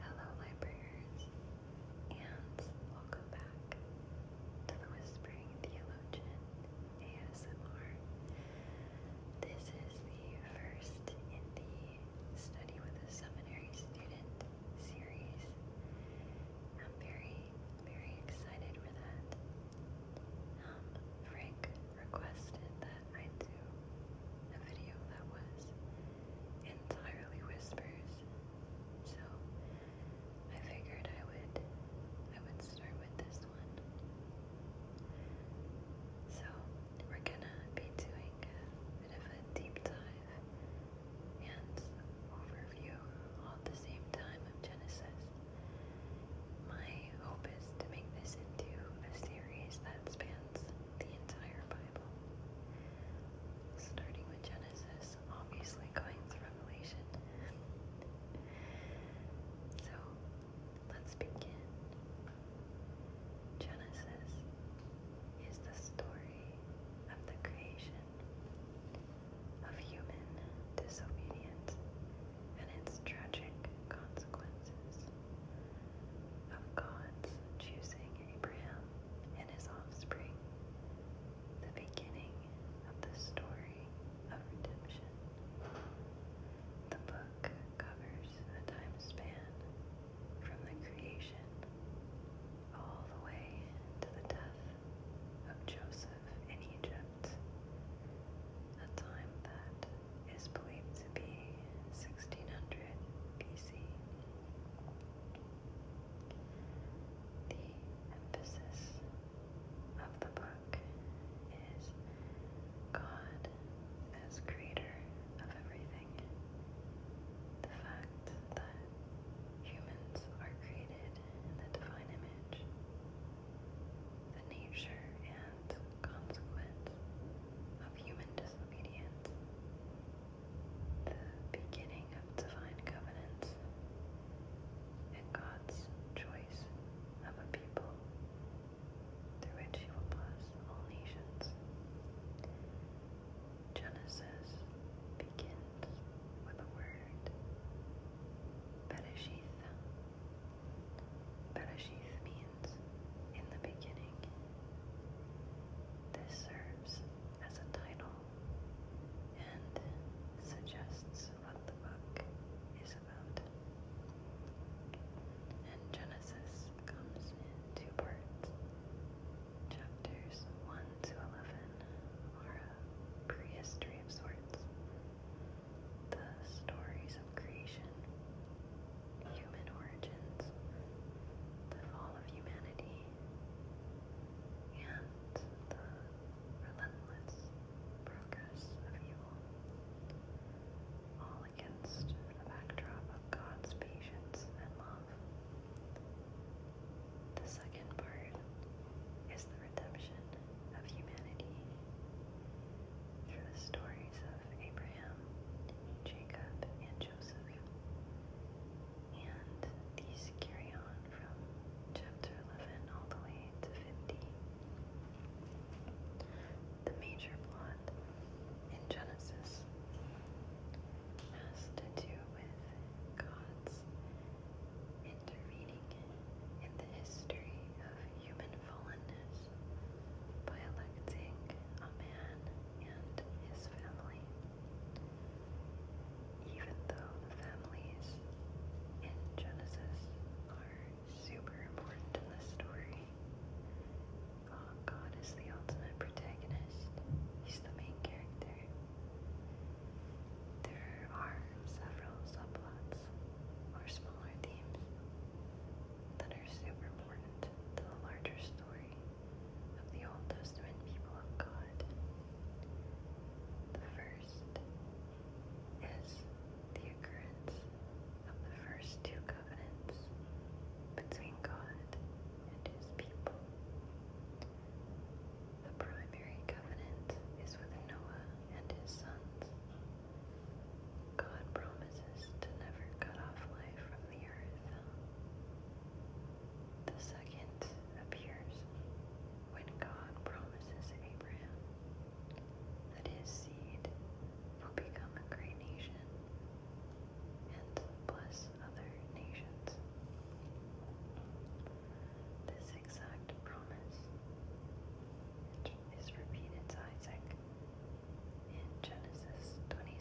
Hello, Librarians, and welcome back to the Whispering Theologian ASMR. This is the first in the Study with a Seminary Student series. I'm very, very excited for that. Frank um, requested that I do a video that was entirely whispers. So I figured I would I would start with this one. So we're gonna be doing a bit of a deep dive and overview all at the same time Genesis. My hope is to make this into a series that spans the entire Bible. Starting with Genesis, obviously going to Revelation. so let's begin. Genesis is the story of the creation of human disobedience and its tragic consequences of God's choosing Abraham and his offspring, the beginning of the story of redemption. The book covers a time span from the creation all the way to the death of Joseph in Egypt, a time that is believed to be 1600 BC. The emphasis of the book is God as creator of everything. The fact that humans are created in the divine image, the nature and consequence of human the beginning of divine covenants, and God's choice of a people through which He will bless all nations. Genesis begins with a word, Bereshith. Bereshith means in the beginning. This serves as a title and suggests what the book is about. And Genesis comes in two parts. Chapters 1 to 11 are a prehistory of sorts. The stories creation, human origins, the fall of humanity, and the relentless progress of evil, all against the backdrop of God's patience and love. The second part is the redemption of humanity through the stories of Abraham. Abraham, Jacob, and Joseph. And these carry on from chapter 11 all the way to 50. The major plot in Genesis has to do with God's intervening in the history of human fallenness by electing a man and his family, even though the families in Genesis are super important in this story. Uh, God is the ultimate protagonist. He's the main character. There are several subplots or smaller themes that are super important to the larger story of the Old Testament people of God. The first is the occurrence of the first two covenants between God and his people. The primary covenant is with Noah and his sons, God promises to never cut off life from the earth. The second appears when God promises Abraham that his seed will become a great nation and bless other nations. This exact promise is repeated to Isaac in Genesis 26,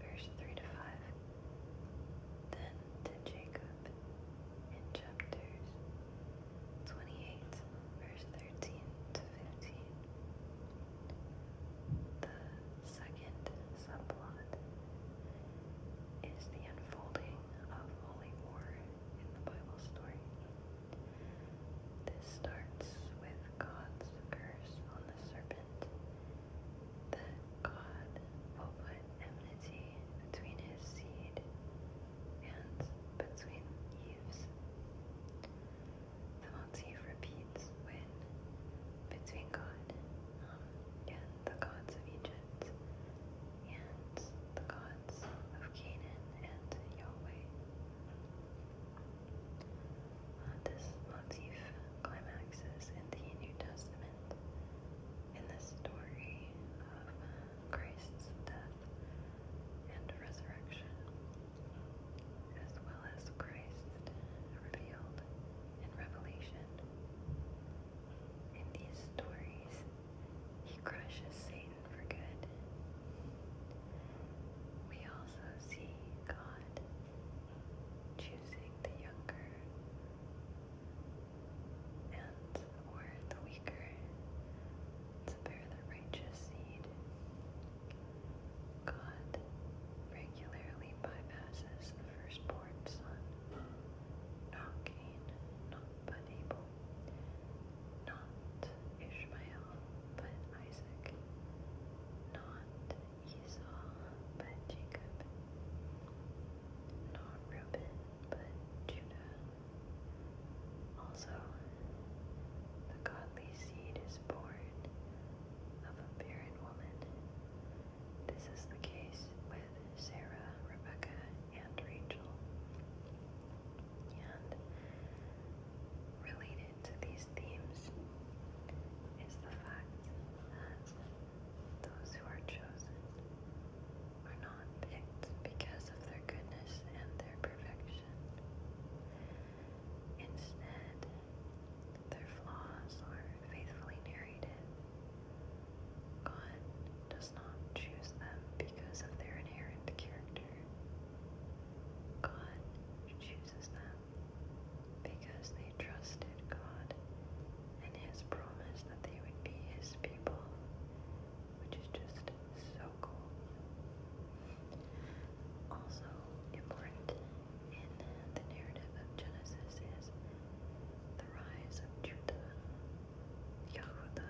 verse 3 to 5, then to Jacob in chapters 28, verse 13 to 15. The second subplot is the unfolding of holy war in the Bible story. This starts with God's curse on the serpent, that God will put enmity between his seed and between Eve's. The motif repeats when between God um, and the gods of Egypt and the gods of Canaan and Yahweh. This motif climaxes in the New Testament in the story of Christ's death and resurrection, as well as Christ revealed in Revelation. In these stories, he crushes Satan for good. We also see God choosing the younger and or the weaker to bear the righteous seed. God regularly bypasses the firstborn son, not Cain, not but not Ishmael, but Isaac, not Esau, but Jacob, not Reuben, but Judah. Also, the godly seed is born of a barren woman. This is the case with Sarah, Rebecca, and Rachel. And related into these themes is the fact that those who are chosen are not picked because of their goodness and their perfection. Instead, their flaws are faithfully narrated. God does not choose them because of their inherent character, God chooses them because they trusted God and His promise that they would be His people, which is just so cool. Also, important in the narrative of Genesis is the rise of Judah, Yehuda,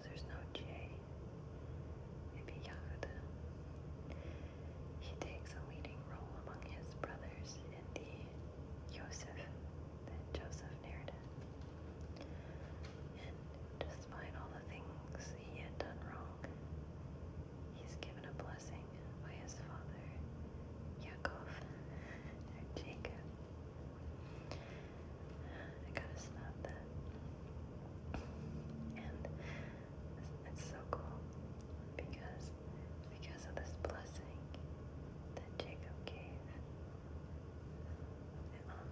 there's no J. Maybe Yahuda. He takes a leading role among his brothers in the Yosef, the Joseph narrative. And despite all the things he had done wrong, he's given a blessing by his father, Yaakov, Jacob. I got that. And it's so cool because because of this blessing that Jacob gave, um,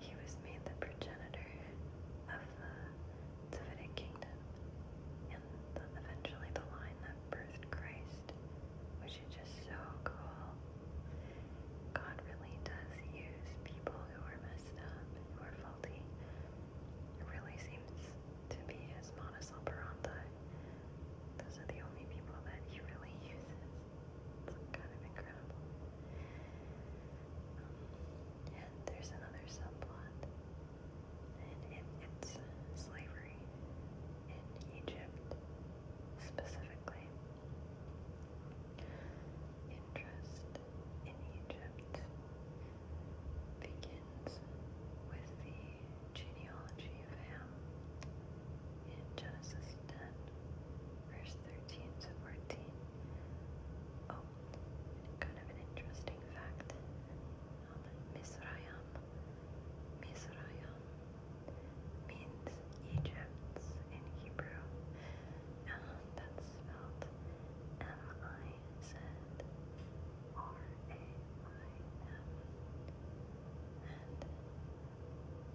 he was made the progenitor of the Davidic kingdom, and the, eventually the line that birthed Christ, which is just so cool. God really does use people who are messed up, who are faulty. It really seems to be his modus Those are the only people that he really uses. It's kind of incredible. Um, and there's another subplot, and it's slavery in Egypt specifically interest in Egypt begins with the genealogy of Ham in Genesis 10, verse 13 to 14. Oh, kind of an interesting fact on the means Egypt in Hebrew um, that's spelled M-I-Z-R-A-Y-M and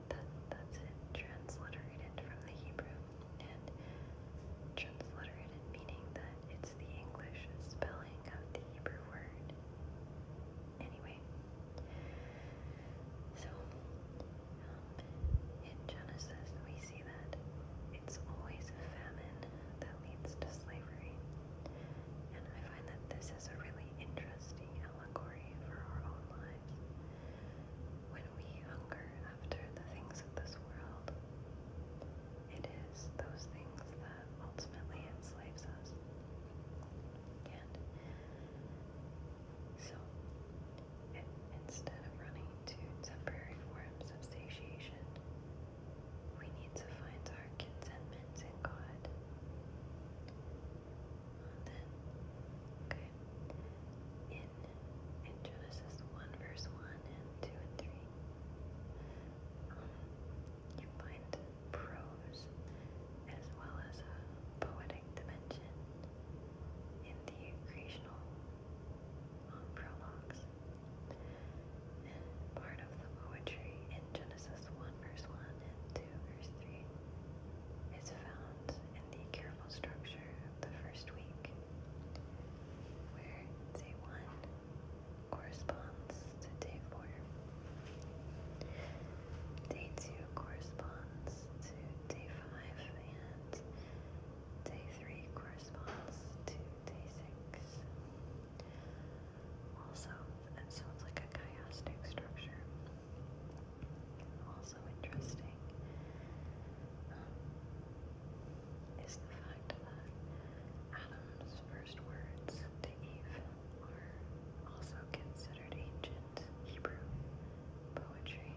that, that's it transliterated from the Hebrew and transliterated meaning that it's the English spelling of the Hebrew word. Anyway, so, um, in Genesis, we see that it's always a famine that leads to slavery. And I find that this is a really interesting allegory for our own lives. When we hunger after the things of this world, it is those things that ultimately enslaves us. And so, Instead of running to temporary forms of satiation, we need to find our contentment in God. then, in, in Genesis 1, verse 1 and 2 and 3, um, you find prose as well as a poetic dimension in the creational um, prologues. part of the poetry in Genesis 1, verse 1 and 2, verse 3 is found in the careful structure of the first week, where day 1 corresponds to day 4. Day 2 corresponds corresponds to day 5 and day 3 corresponds to day 6. Also, that sounds like a chiastic structure. Also interesting um, is the fact that Adam's first words to Eve are also considered ancient. Hebrew poetry.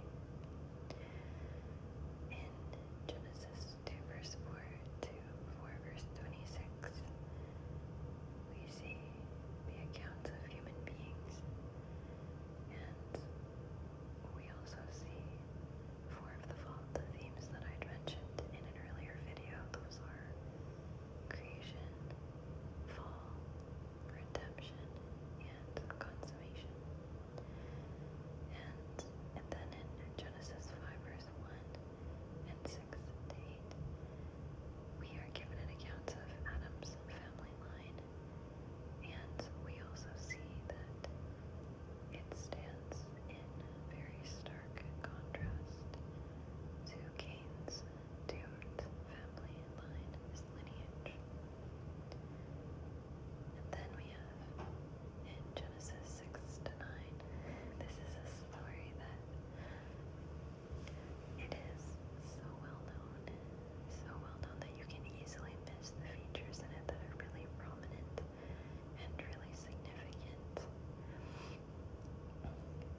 In Genesis 2 to 4 we see the accounts of human beings, and we also see four of the, themes that I'd mentioned in an earlier video. Those are creation, fall, redemption, and consequence. And, then in Genesis 5:1 and 6 and 8, we are given an account of Adam's family line, and we also see that it stands in very stark contrast to Cain's doomed family line, his lineage then we have in Genesis 6 to 9, this is a story that it is so well known, so well known that you can easily miss the features in it that are really prominent and really significant.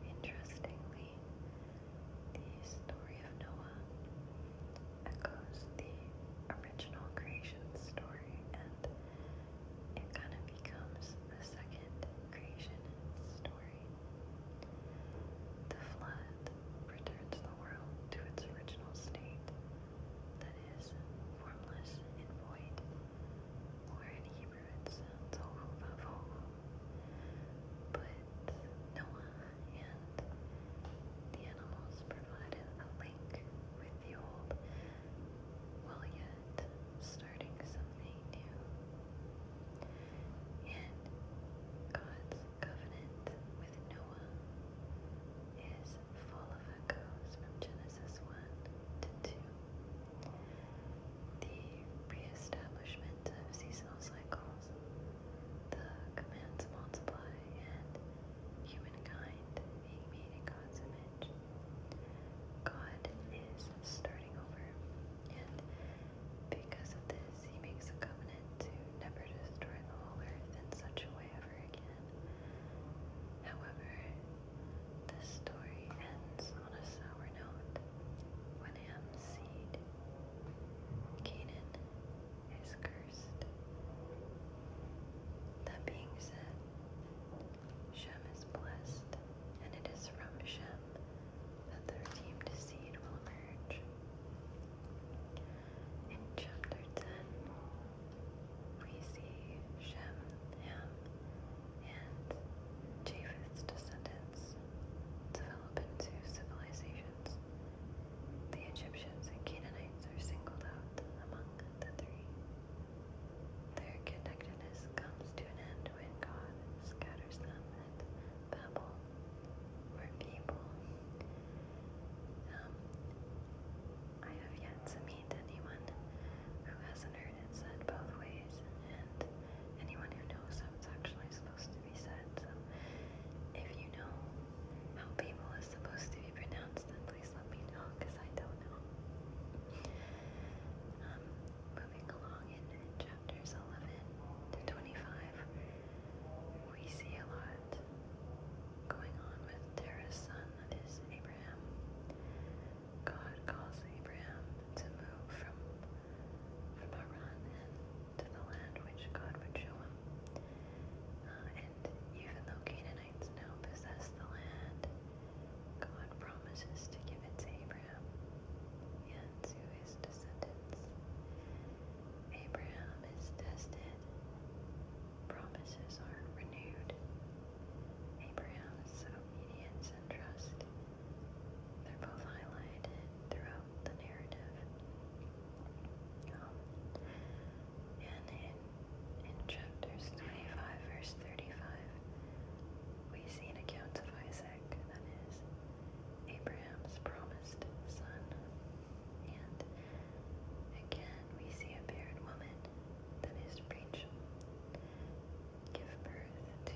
Interestingly, the story of Noah echoes the original creation story and it kind of becomes the second creation story. The flood returns the world to its original state that is formless and void, or in Hebrew it sounds but Noah and the animals provided a link with the old while yet starting something new. And God's covenant with Noah is full of echoes from Genesis 1 to 2. The re-establishment of seasonal cycles the command multiply, and humankind being made in God's image. God is starting over, and because of this, he makes a covenant to never destroy the whole earth in such a way ever again. However, this story ends on a sour note. When Ham's seed, Canaan, is cursed. That being said, Shem is blessed, and it is from Shem that the redeemed seed will emerge. In chapter 10, we see Shem, Ham, and Japheth's descendants develop into civilizations the Egyptians and Canaanites are singled out among the three. Their connectedness comes to an end when God scatters them at Babel, where people. Um, I have yet to meet anyone who hasn't heard it said both ways, and anyone who knows how it's actually supposed if you know how people is supposed to be pronounced, then please let me know because I don't know. Um, moving along in, chapters 11 to 25, we see a lot going on with Terah's son, that is Abraham. God calls Abraham to move from from Haran and to the land which God would show him. Uh, and even though Canaanites now possess the land, God promises to give it to Abraham and to his descendants. Abraham is tested, promises are renewed. Abraham's obedience and trust, they're both highlighted throughout from the narrative. Um, and in, in chapters 25, verse 35, we see an account of Isaac, that is, Abraham's promised son. And again, we see a barren woman, that is, Rachel, give birth to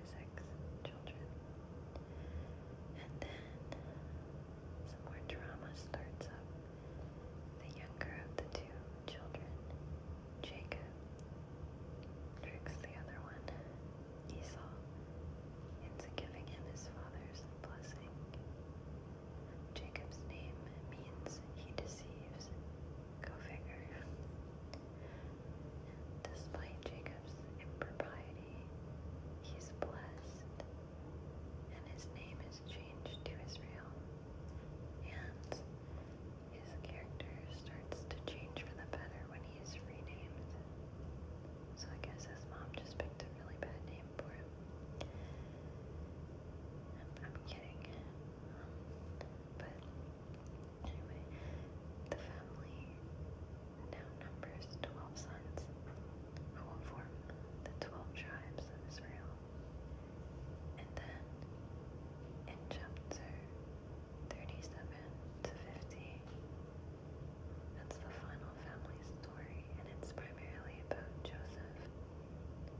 Isaac's children. And then some more drama starts up. The younger of the two children, Jacob, tricks the other one, Esau, into giving him his father's blessing. Jacob's name means he deceives. Go figure. despite Jacob's gives impropriety, he blessed, and his name is changed to Israel. And his character starts to change for the better when he is renamed. So I guess his mom just picked a really bad name for him. I'm, kidding. Um, but anyway, the family now numbers twelve sons, who will form the twelve tribes of Israel. And then, in chapter 37 to 50, that's the final family story, and it's primarily about Joseph,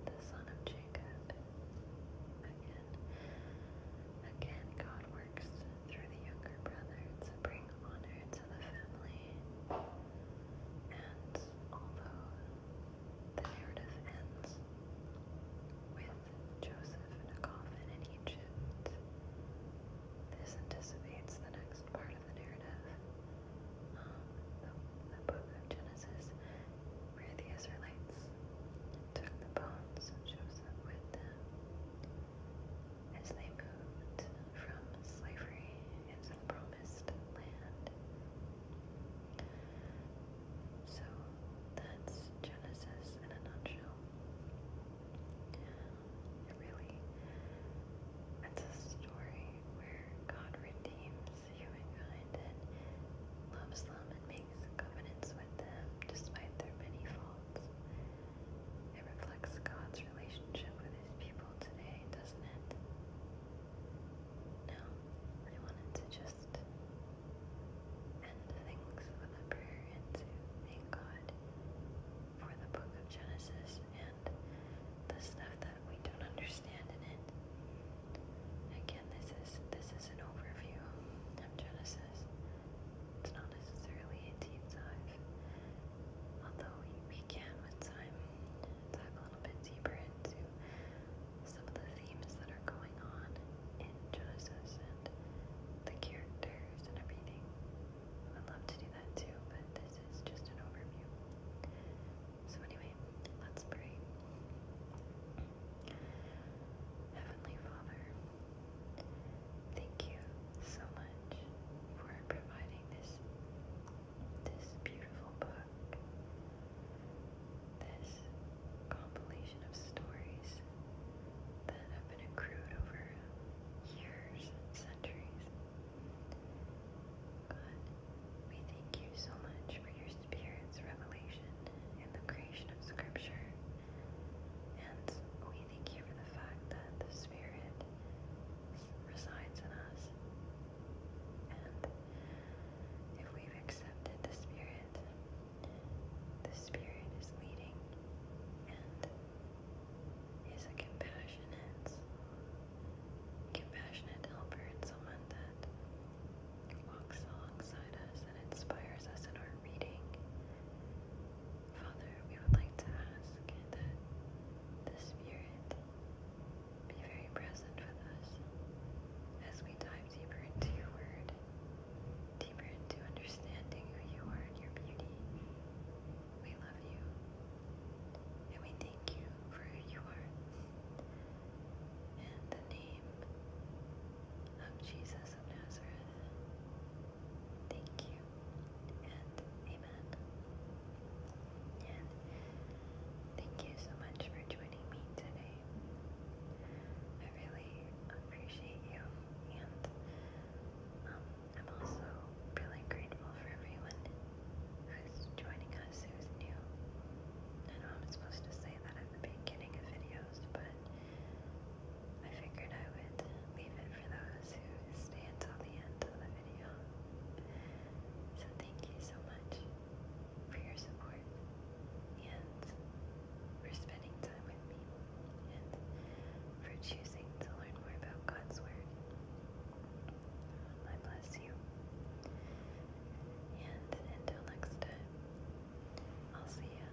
the son of Jacob. Again, again, God works through the younger brother to bring honor the and although the narrative ends with Joseph in a coffin in Egypt, this anticipates the next part of the narrative, um, the book of Genesis, where the Israelites took the bones of Joseph with them as they moved from slavery into the promised land. So that's Genesis in a nutshell. It really, it's a story where God redeems humankind and loves them and makes covenants with them despite their many faults. It reflects God's relationship with his people today, doesn't it? Now, I wanted to just end things with a prayer and to thank God for the book of Genesis and the stuff that we don't understand in it. Again, this is this is an overview of Genesis. It's not necessarily a deep dive, although we, can with time dive a little bit deeper into some of the themes that are going on in Genesis and the characters and everything. I love to do that too, but this is just an overview. So, anyway, let's Heavenly Father, Thank you so much for providing this this beautiful book, this compilation of stories that have been accrued over years and centuries. God, we thank you so much for your spirit's revelation and the creation of Scripture, and we thank you for the fact that the Spirit resides in us. And if we've the Spirit, the Spirit is leading and is a compassionate, compassionate helper and someone that walks alongside us and inspires us in our reading Father, we would like to ask that the Spirit be very present with us as we dive deeper into your word, deeper into understanding who you are and your beauty. We love you and we thank you for who you are. In the name of Jesus of Nazareth, thank you amen. And thank you so much for joining me today. I really appreciate you, and um, I'm also really grateful for everyone who's joining us who's new. I know I'm supposed to say that at the beginning of videos, but I figured I would leave it for those who stay until the end of the video. So thank you so much for your support and for spending time with me and for choosing to learn more about God's Word. I bless you. And until next time, I'll see you.